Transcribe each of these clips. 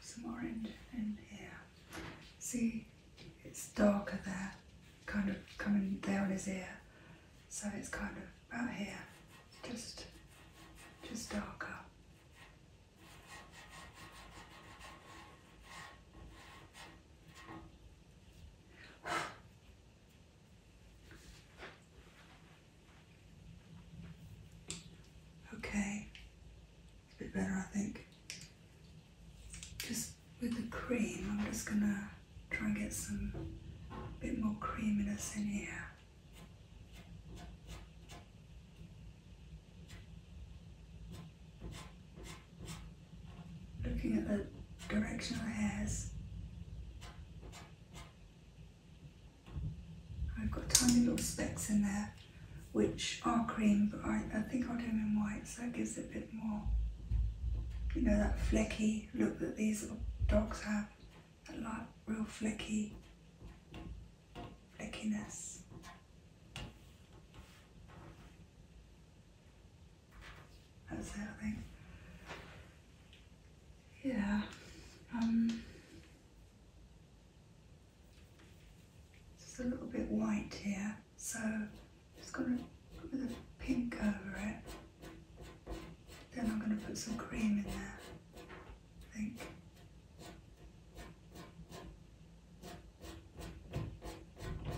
Some orange in here. See, it's darker there, kind of coming down on his ear. So it's kind of about here, just, just darker. Okay, a bit better, I think. Just with the cream, I'm just gonna try and get some bit more creaminess in here. Looking at the direction of the hairs, I've got tiny little specks in there which are cream, but I, think I'll do them in white, so it gives a bit more, you know, that flecky look that these little dogs have, that like real flecky, fleckiness. That's it, I Yeah. Um, it's a little bit white here, so I'm just going to put the pink over it. Then I'm going to put some cream in there, I think.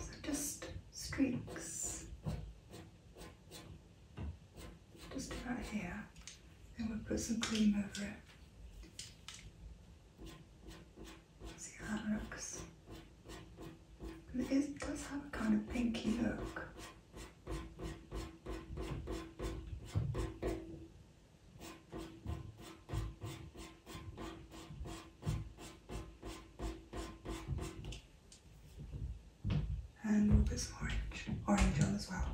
So just streaks just about here. and we'll put some cream over it. See how that looks. it does have a kind of pinky look. and we'll put some orange, orange on as well.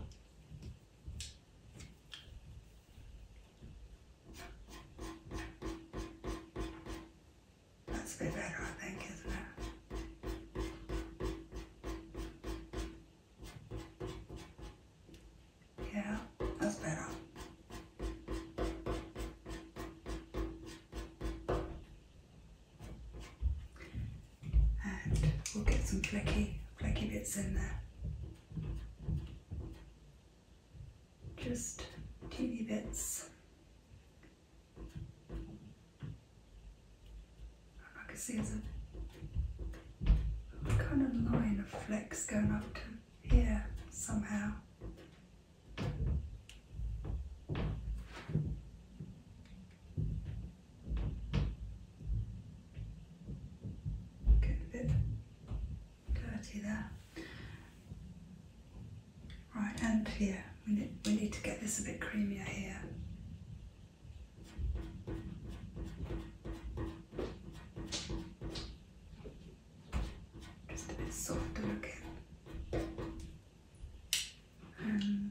That's be better, I think, isn't it? Yeah, that's better and we'll get some flecky, flecky bits in there. Just teeny bits. I can see there's kind of line of flecks going up to here somehow. Getting a bit dirty there. Right, and here, we need, to get this a bit creamier here. Just a bit softer again. And um,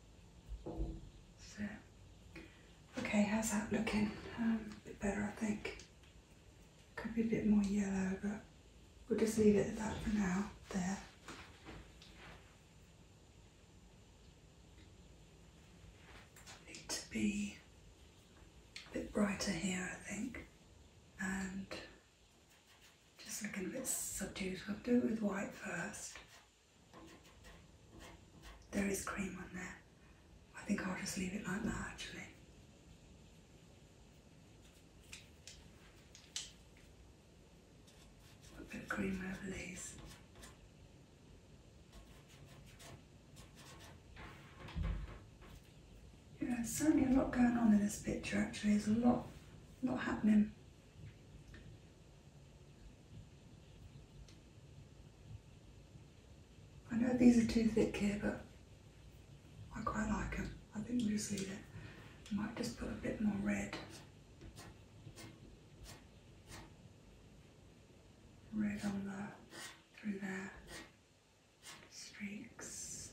So, okay, how's that looking? Um, a bit better, I think. Could be a bit more yellow, but we'll just leave it at that for now. There. Need to be a bit brighter here, I think, and just looking a bit subdued. We'll do it with white first. There is cream on there. I think I'll just leave it like that actually. a bit of cream over these. Yeah, there's certainly a lot going on in this picture actually. There's a lot, a lot happening. I know these are too thick here, but I quite like them. I think we'll just leave it. I might just put a bit more red. Red on the, through there, streaks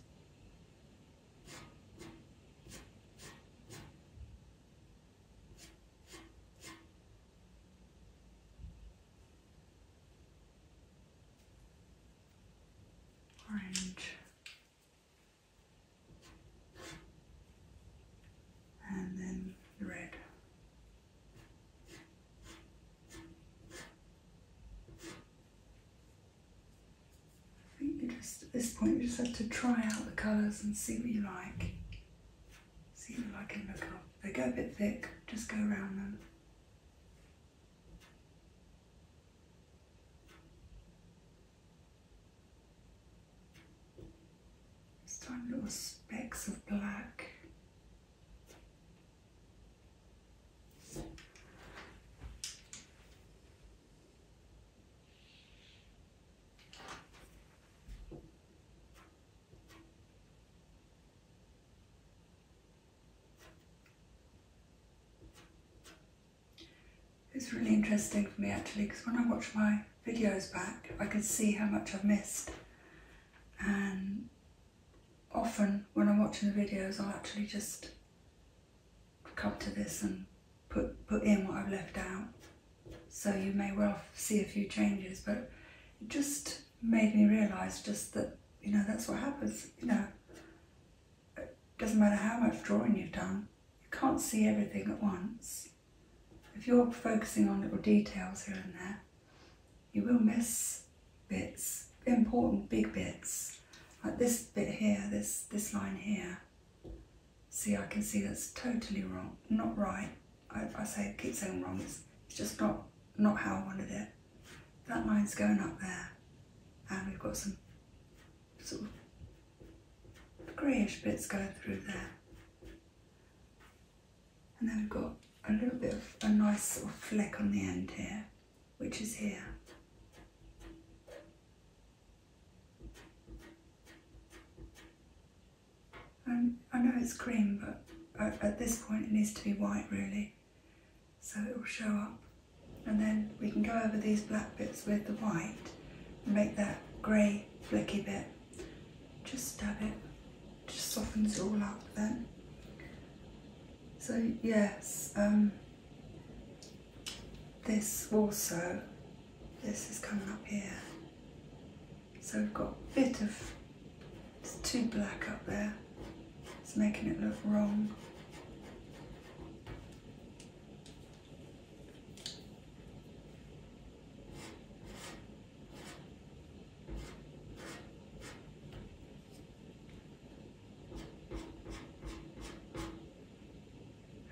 orange and then red. I think just at this point you just have to try out the colours and see what you like. See if I can look up. They go a bit thick, just go around them. Just tiny little specks of black. It's really interesting for me actually because when I watch my videos back I can see how much I've missed and often when I'm watching the videos i actually just come to this and put, put in what I've left out. So you may well see a few changes, but it just made me realise just that, you know, that's what happens, you know. It doesn't matter how much drawing you've done, you can't see everything at once. If you're focusing on little details here and there, you will miss bits, important big bits. Like this bit here, this, this line here, See, I can see that's totally wrong, not right. I, I say, keep saying wrong, it's, just not, not how I wanted it. That line's going up there, and we've got some sort of greyish bits going through there. And then we've got a little bit of a nice sort of fleck on the end here, which is here. Um, I know it's cream, but at this point it needs to be white really, so it will show up. And then we can go over these black bits with the white and make that grey flicky bit. Just stab it, just softens it all up then. So yes, um, this also this is coming up here. So we've got a bit of, it's too black up there. It's making it look wrong.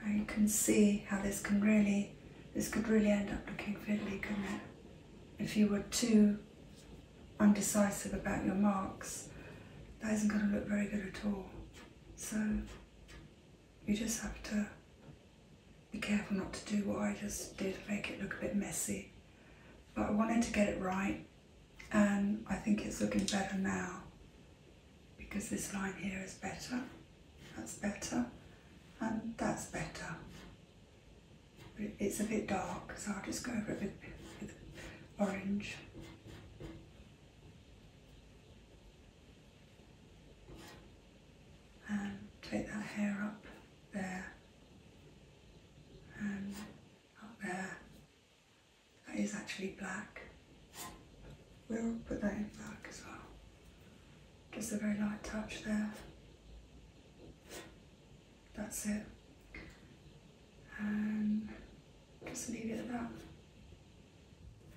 And you can see how this can really, this could really end up looking fiddly, good. If you were too undecisive about your marks, that isn't going to look very good at all. So you just have to be careful not to do what I just did, make it look a bit messy. But I wanted to get it right and I think it's looking better now because this line here is better, that's better, and that's better. But it's a bit dark, so I'll just go over it with, orange. And take that hair up there and up there. That is actually black. We'll put that in black as well. Just a very light touch there. That's it. And um, just leave it at that.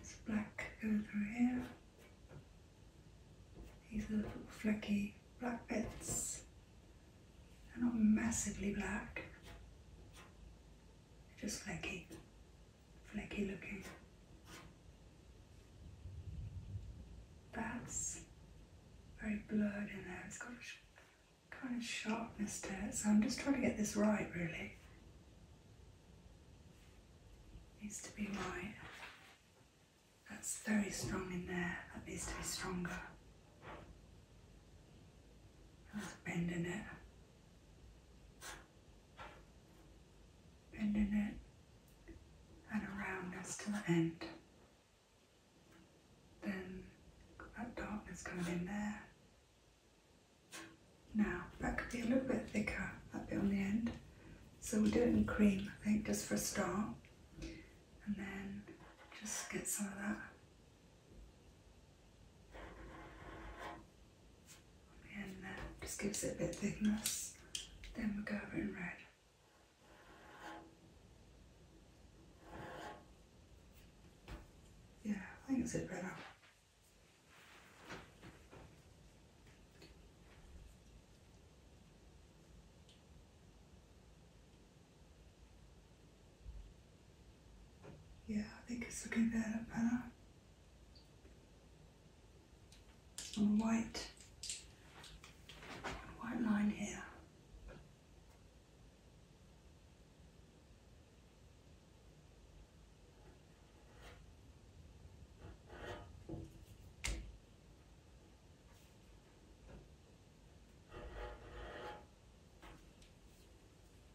It's black going through here. These are little flecky black bits. They're not massively black, just flecky flaky looking. That's very blurred in there. It's got a kind of sharpness to it, so I'm just trying to get this right really. Needs to be right. That's very strong in there. That needs to be stronger. There's a it bending it and around us to the end. Then that darkness coming in there. Now, that could be a little bit thicker, that bit on the end. So we'll do it in cream, I think, just for a start. And then just get some of that and that uh, just gives it a bit of thickness. Then we go over in red. Yeah, I think it's a bit better. Yeah, I think it's looking better, better and a white, white line here.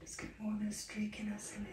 Let's get more of this streak in us in there.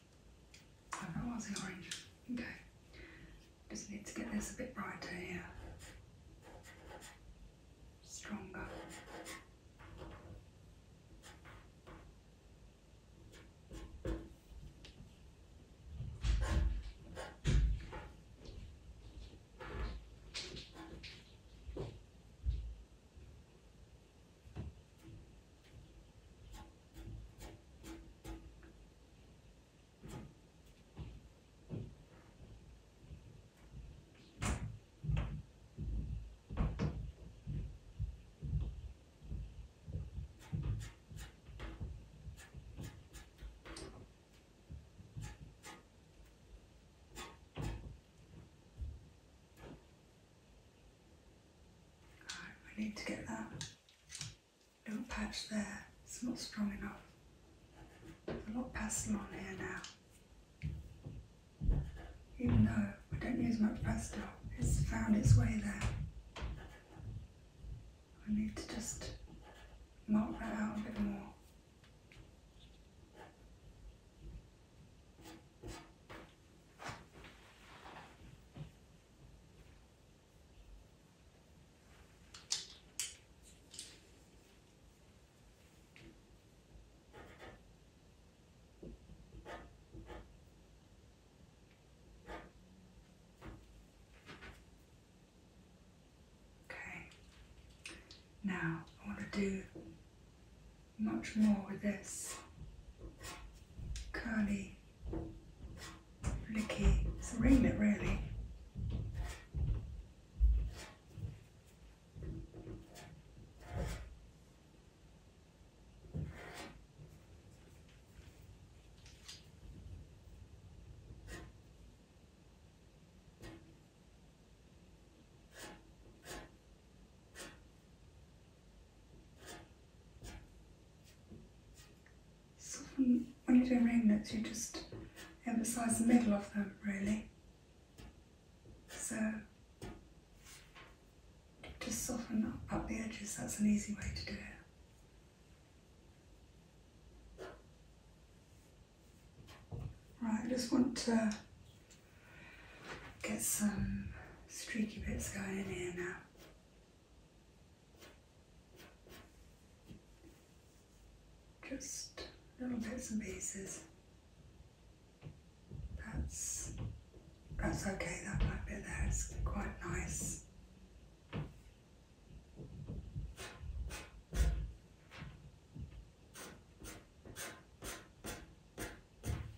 Where was the orange? Okay. Just need to get this a bit brighter here. Stronger. I need to get that little patch there, it's not strong enough. a lot of pastel on here now. Even though I don't use much pastel, it's found its way there. I need to just mark that out a bit more. Okay, now I want to do much more with this curly Flicky. It's a really when, you do ringlets, you just emphasise the middle of them, really. So just soften up the edges, that's an easy way to do it. Right, I just want to get some streaky bits going in here now. Just a little bits and pieces. That's, that's okay, that might be there, it's quite nice.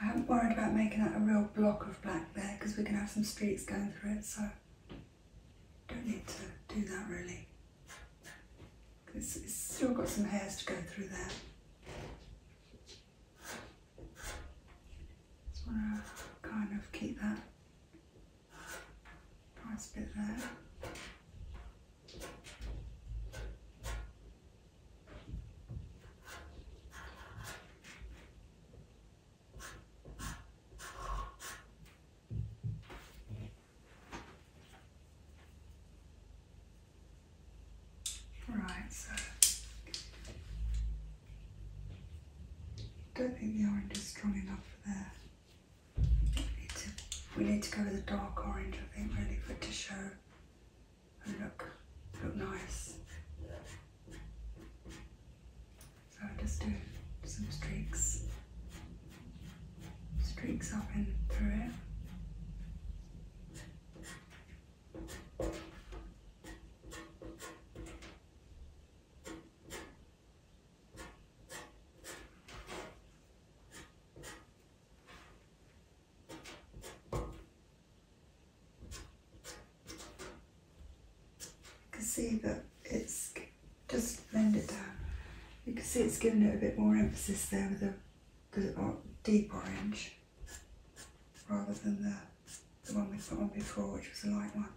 I haven't worried about making that a real block of black there because we are gonna have some streaks going through it so don't need to do that really. It's, it's still got some hairs to go through there. Just want to kind of keep that nice bit there. Right, so don't think the orange is strong enough there. We need to, go with a dark orange, I think, really, for it to show look, look nice. So I just do some streaks, streaks up and through it. You can see that it's just blend it down. You can see it's giving it a bit more emphasis there with a uh, deep orange rather than the, the one we put on before, which was a light one,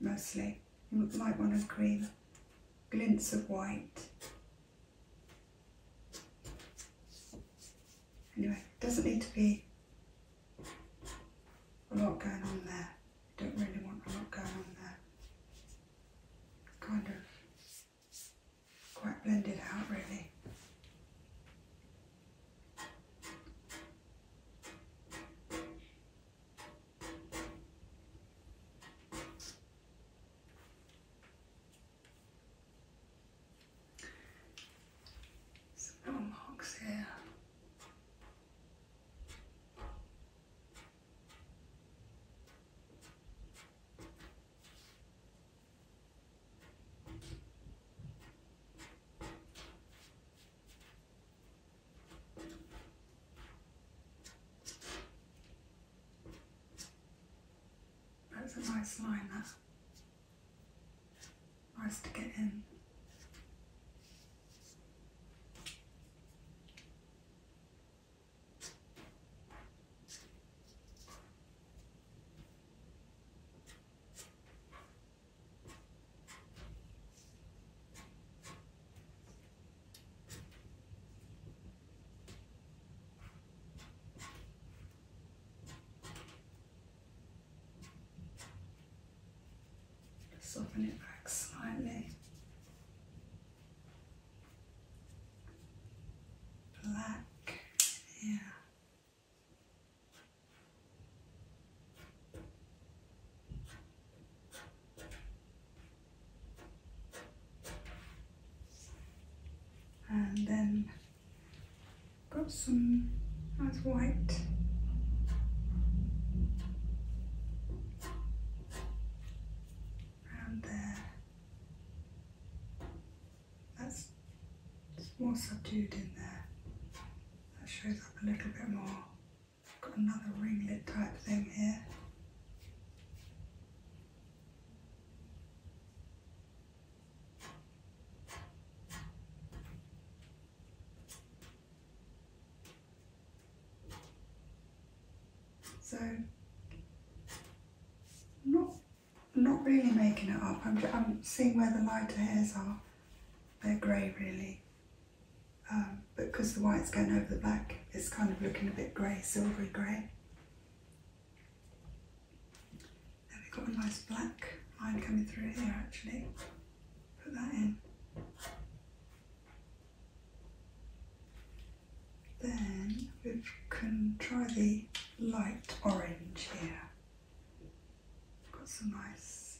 mostly. Light one of cream, glints of white. Anyway, doesn't need to be a lot going on there. Don't really want a lot going on there. Kind of quite blended out really. Some marks here. That's a nice line, there for us to get in. Let's open it back slightly. Black, yeah. And then Got some that's white. Around there. That's more subdued in there. That shows up a little bit more. Got another ringlet type thing here. So not, not really making it up, I'm, I'm seeing where the lighter hairs are. They're grey really. Um, but because the white's going over the back, it's kind of looking a bit grey, silvery grey. Then we've got a nice black line coming through here actually. Put that in. Then we can try the light orange here. Got some nice.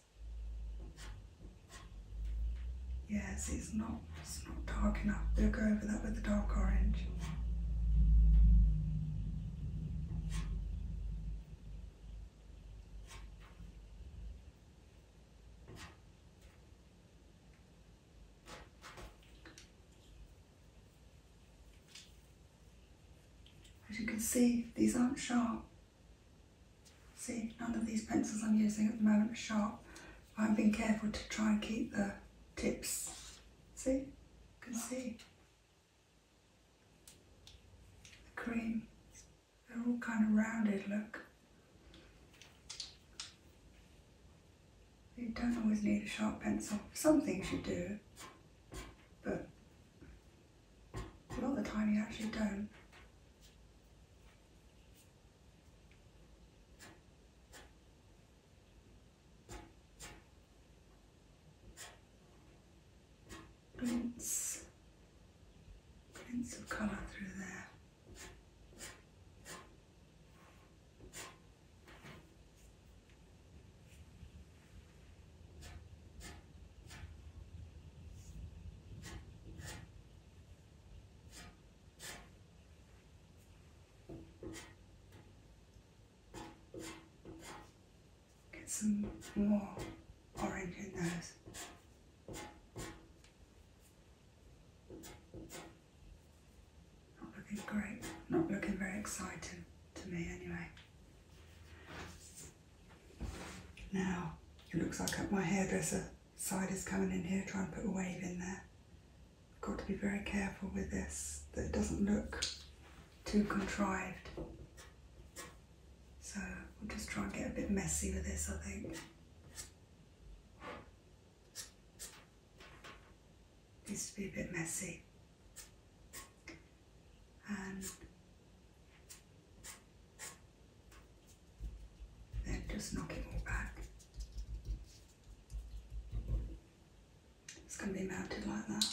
Yes, it's not it's not dark enough. We'll go over that with the dark orange. As you can see, these aren't sharp. See, none of these pencils I'm using at the moment are sharp. I've been careful to try and keep the tips. See? You can see the cream. They're all kind of rounded, look. You don't always need a sharp pencil. Some things you do, but a lot of the time you actually don't. Prints, prints of colour through there. Get some more orange in those. Not looking great, not looking very exciting to me anyway. Now, it looks like my hairdresser side is coming in here, trying to put a wave in there. I've got to be very careful with this that it doesn't look too contrived. So we'll just try and get a bit messy with this I think. needs to be a bit messy. And then just knock it all back. It's going to be mounted like that.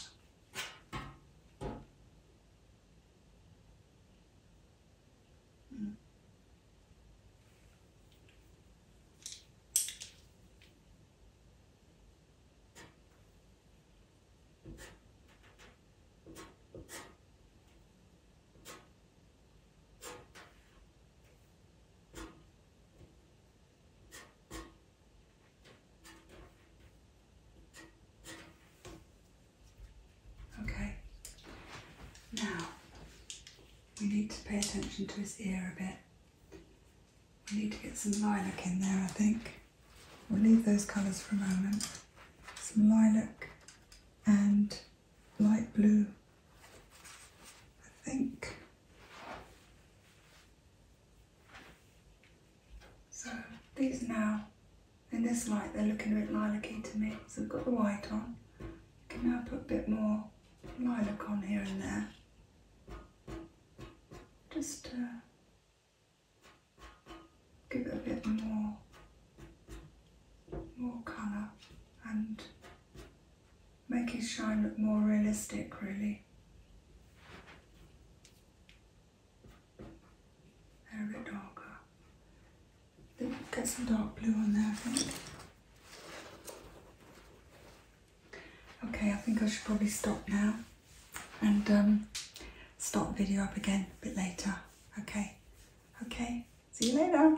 Okay, now we need to pay attention to his ear a bit. We need to get some lilac in there, I think. We'll leave those colours for a moment. Some lilac and light blue, I think. So these now, in this light, they're looking a bit lilac-y to me. So we've got the white on. can now put a bit more lilac on here and there. Just uh, give it a bit more, more colour and make his shine look more realistic really. They're a bit darker. Get some dark blue on there I think. Okay, I think I should probably stop now and um, start the video up again a bit later. Okay, okay, see you later.